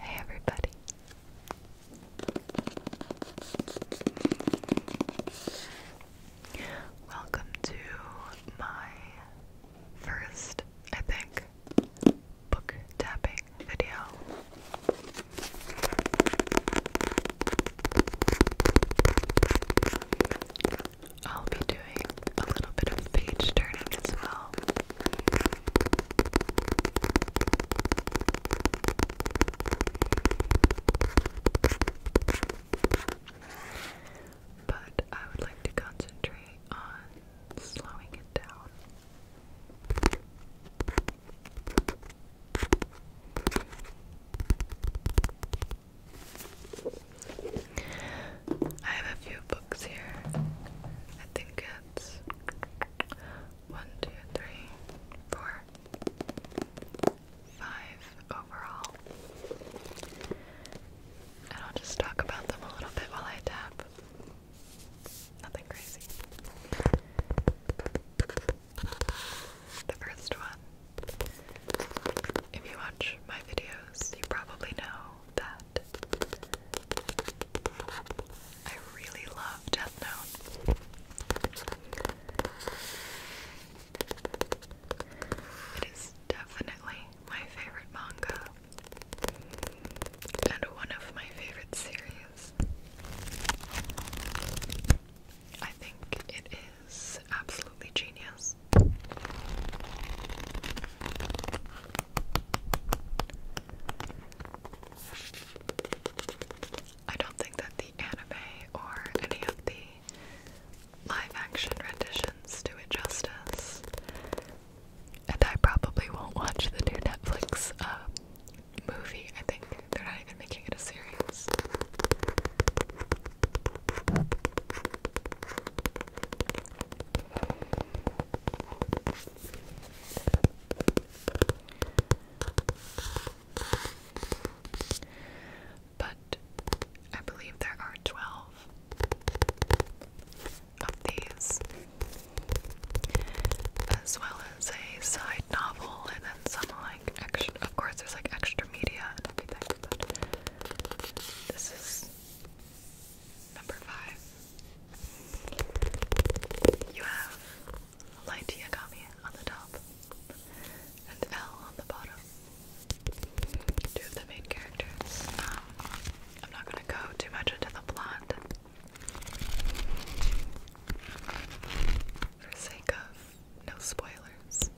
Hey everybody. Welcome to my first, I think, book tapping video. I'll be doing a little bit of page turning as well. But I would like to concentrate on slowing it down. I have a few books here. I think it's one, two, three, four, five overall. And I'll just talk about them a little bit while I tap. Nothing crazy. The first one. If you watch my videos, you probably know that I really love Death Note. It is definitely my favorite manga and one of my favorite series. I think it is absolutely genius. I don't think that the anime or any of the live action renditions do it justice. And I probably won't watch the new Netflix uh, movie. I think they're not even making it a series. But I believe there are 12 of these, as well as a side novel, and then some like extra. Of course, there's like extra media and everything, this is Number five. You have light yagami on the top and L on the bottom. Two of the main characters. Um, I'm not gonna go too much into the plot for sake of no spoilers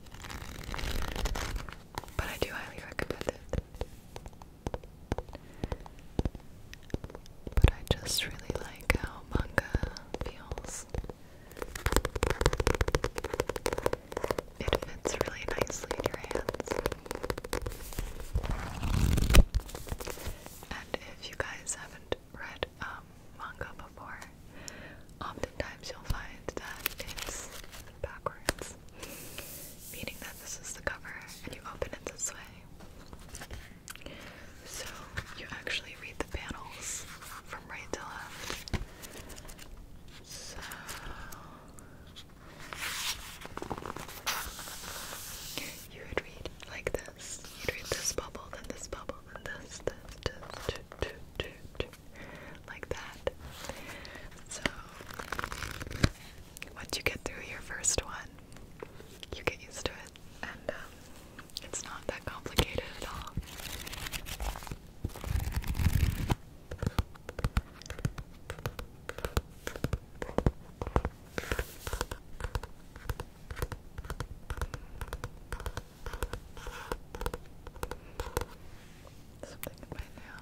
but I do highly recommend it. But I just really like how manga feels. It fits really nicely in your hands. And if you guys haven't read um, manga before, oftentimes you'll find that it's backwards, meaning that this is the cover and you open it this way. So you actually read the panels from right to left. So you would read like this. You'd read this bubble, then this bubble, then this, this, this, this, this, out like that. So, once you get through your first one, you get used to it, and um, it's not that complicated at all. Something in my nail.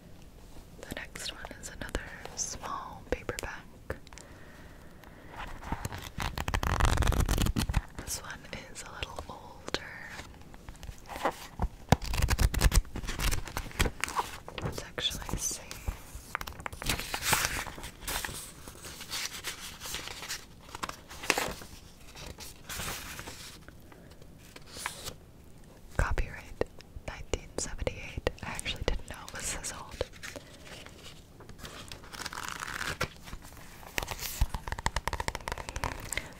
The next one is another small paperback. This one is a little older. Let's actually see. Copyright 1978. I actually didn't know it was this old.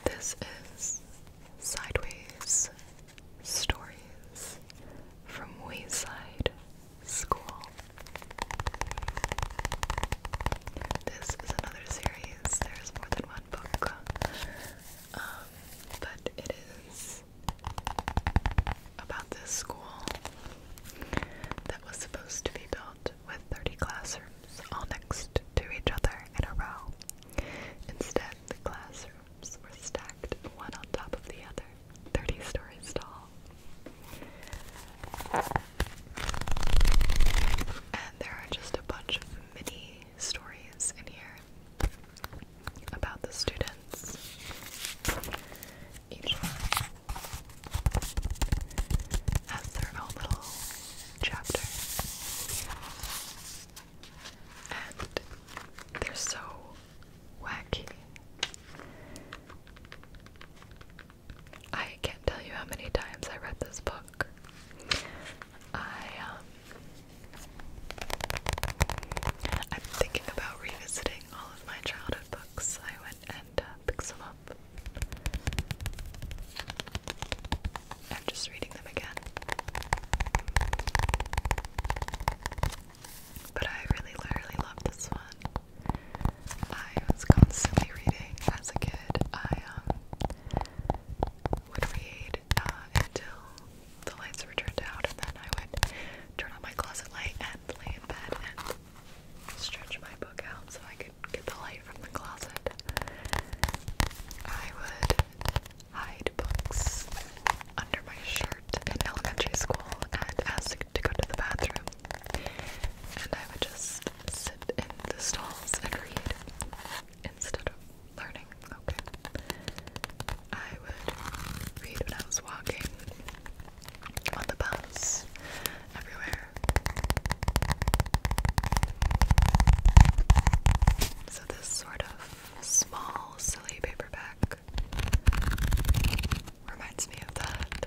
This is Sideways Stories from Wayside School. This is another series. There's more than one book. Um, but it is about this school that was supposed to be built with 30 classrooms all next to each other in a row. Instead, the classrooms were stacked one on top of the other, 30 stories tall. And there are just a bunch of mini stories in here about the students. Each one has their own little chapter. And they're so wacky. I can't tell you how many times I read this book. I um, I'm thinking about revisiting all of my childhood books. I went and uh, picked some up. I'm just reading them again. But I really, really love this one. I was constantly reading as a kid. I um, would read uh, until the lights were turned out, and then I would turn on my closet light and lay in bed and stretch my book out so I could get the light from the closet. I would hide books under my shirt in elementary school and ask to go to the bathroom, and I would just sit in the stalls and read instead of learning. Okay. I would read when I was walking on the bus, everywhere. So, this sort of small, silly paperback reminds me of that.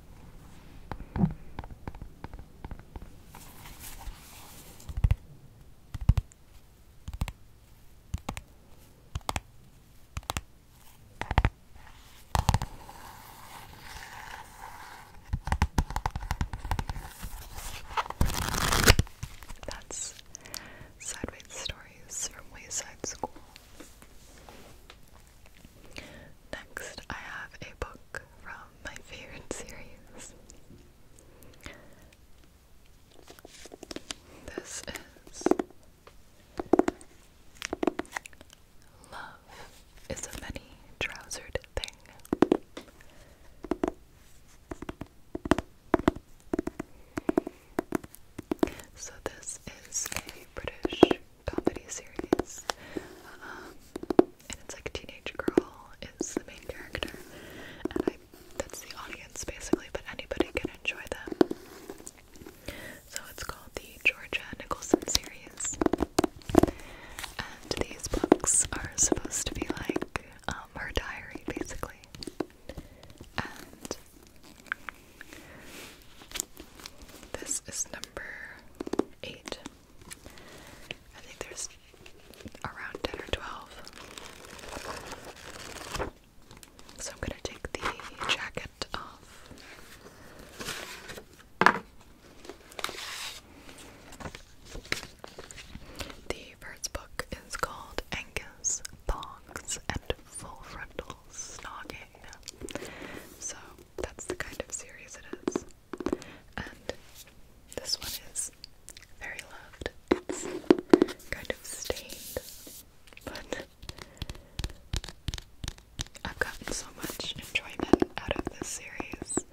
That's Sideways Stories from Wayside School. Next, I have a book from my favorite series. This is Love is a Many Trousered Thing. So, this is a British comedy series. Um, and it's like a teenage girl is the main character, and I that's the audience basically, but anybody can enjoy them. So it's called the Georgia Nicholson series. And these books are supposed to be like um, her diary basically. And this is number number eight. I think there's around 10 or 12. So I'm gonna take the jacket off. The first book is called Angus, Thongs, and Full Frontal Snogging. So that's the kind of series it is. And this one is very loved. It's kind of stained, but I've gotten so much enjoyment out of this series.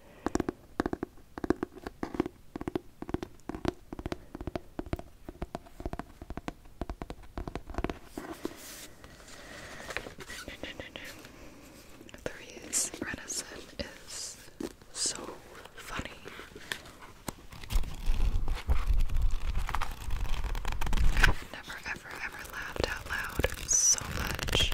The reason is so funny. I've never, ever, ever laughed out loud so much.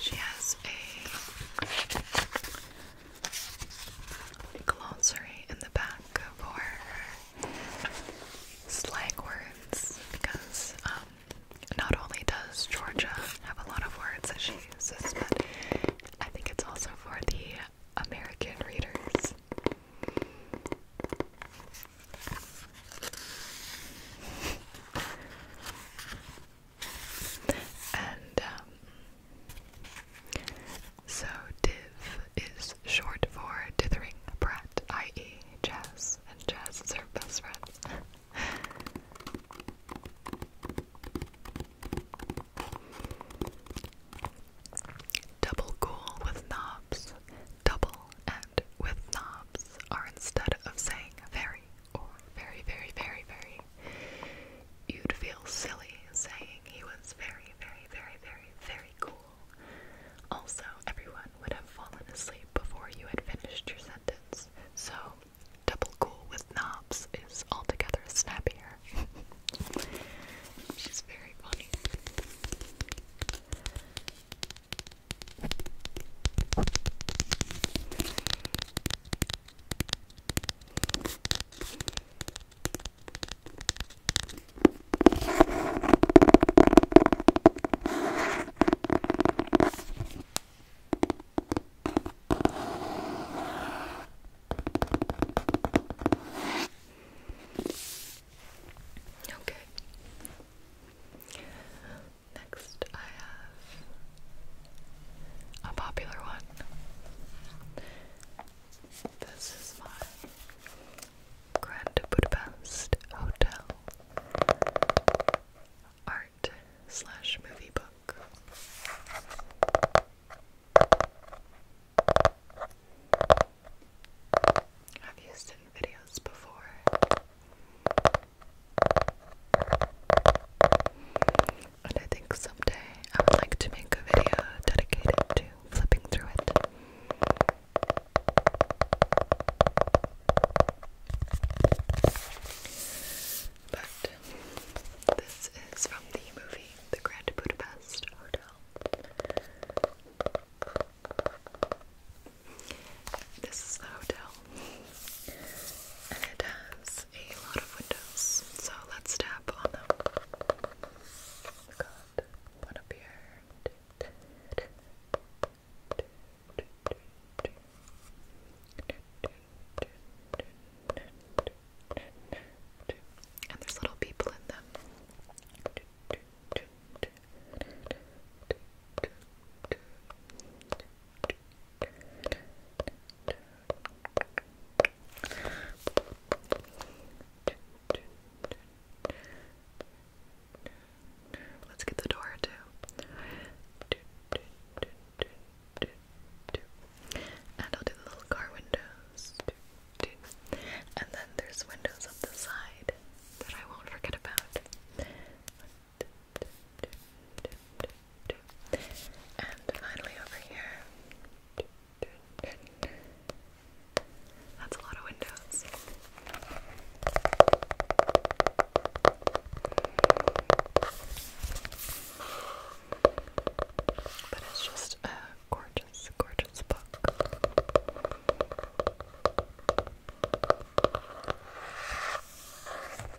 She has a glossary in the back for slang words because um, not only does Georgia have a lot of words that she uses, but I think it's also for the American readers. And um, so div is short for dithering brat, i.e., Jazz, and Jazz is her best friend. Double ghoul with knobs. Double and with knobs are instead of saying very or very, very, very, very, you'd feel silly saying he was very, very, very, very, very cool. Also, everyone would have fallen asleep before you had finished your sentence, so double cool with knobs is altogether snappier. She's very funny. Okay. Next, I have a popular one. This is my Grand Budapest Hotel art slash movie book. I've used it in videos before and I think someday I would like to make a video dedicated to flipping through it. But this is from the movie The Grand Budapest Hotel. This is the hotel and it has a lot of windows. So let's tap on them. one up here. And there's little people in them. Let's get the door too. And I'll do the little car windows. And then there's windows up the side that I won't forget about. And finally over here. That's a lot of windows. But it's just a gorgeous, gorgeous book.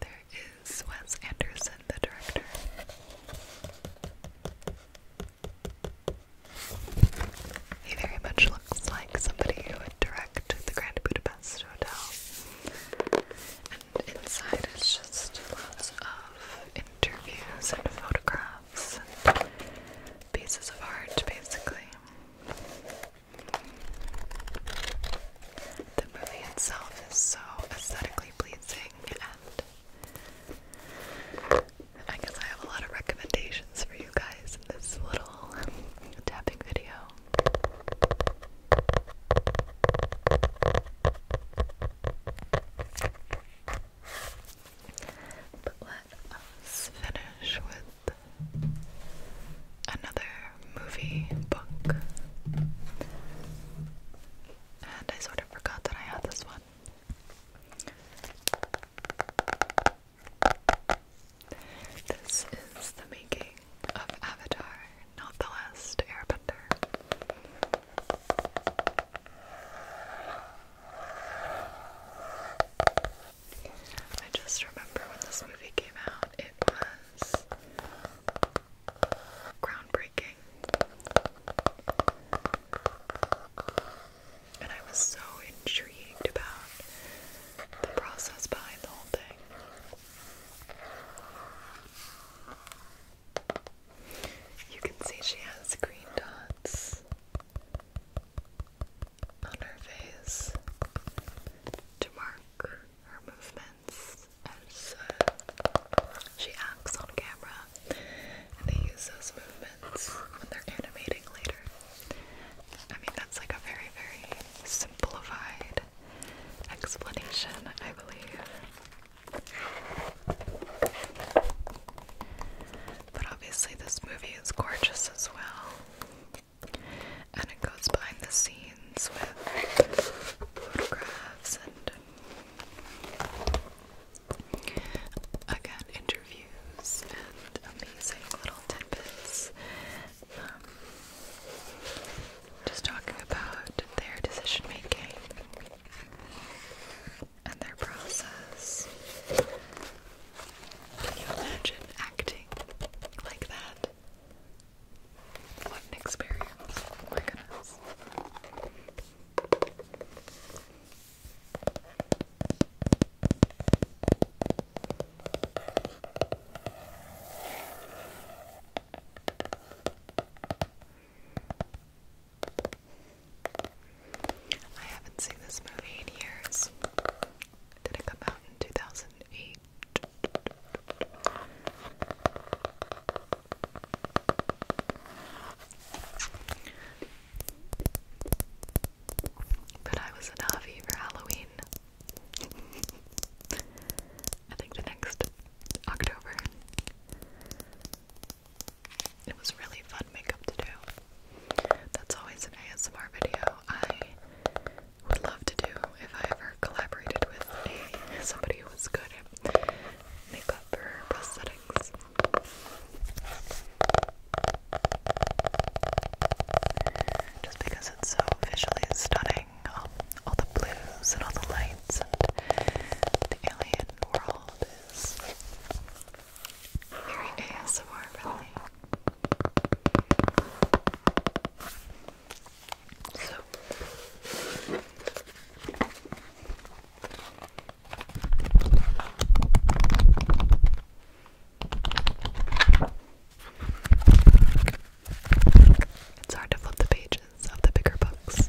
there is Wes Anderson, the director. He very much looks like somebody who would direct the Grand Budapest Hotel. And inside it's just lots of interviews and photographs pieces of art, basically. The movie itself is so aesthetically pleasing, and I guess I have a lot of recommendations for you guys in this little tapping video. but finish with another movie book. And I sort of forgot that I had this one. This is the making of Avatar, not the last airbender. I just remember when this movie came out, it was groundbreaking. And I was so intrigued about the process behind the whole thing. You can see she has green dots on her face to mark her movements as she acts on camera, and they use those movements when they're animating later. I mean, that's like a very, very simplified explanation, I believe. But obviously, this movie is gorgeous as well. And it goes behind the scenes with photographs and, again, interviews and amazing little tidbits. Um, just talking about their decision making and their process. Can you imagine acting like that? What an experience! Oh my goodness. I haven't seen this movie in years. Did it come out in 2008? But I was an Avi for Halloween. I think the next October. It was really fun makeup to do. That's always an ASMR video I would love to do if I ever collaborated with somebody who was good at makeup or prosthetics. Just because it's so visually stunning, all the blues and all the lights and the alien world. It's hard to flip the pages of the bigger books.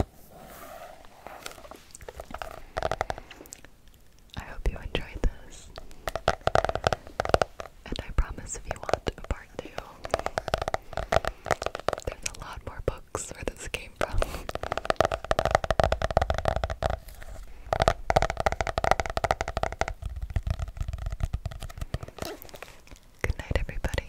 I hope you enjoyed this. And I promise if you want a part two, there's a lot more books where this came from. Good night, everybody.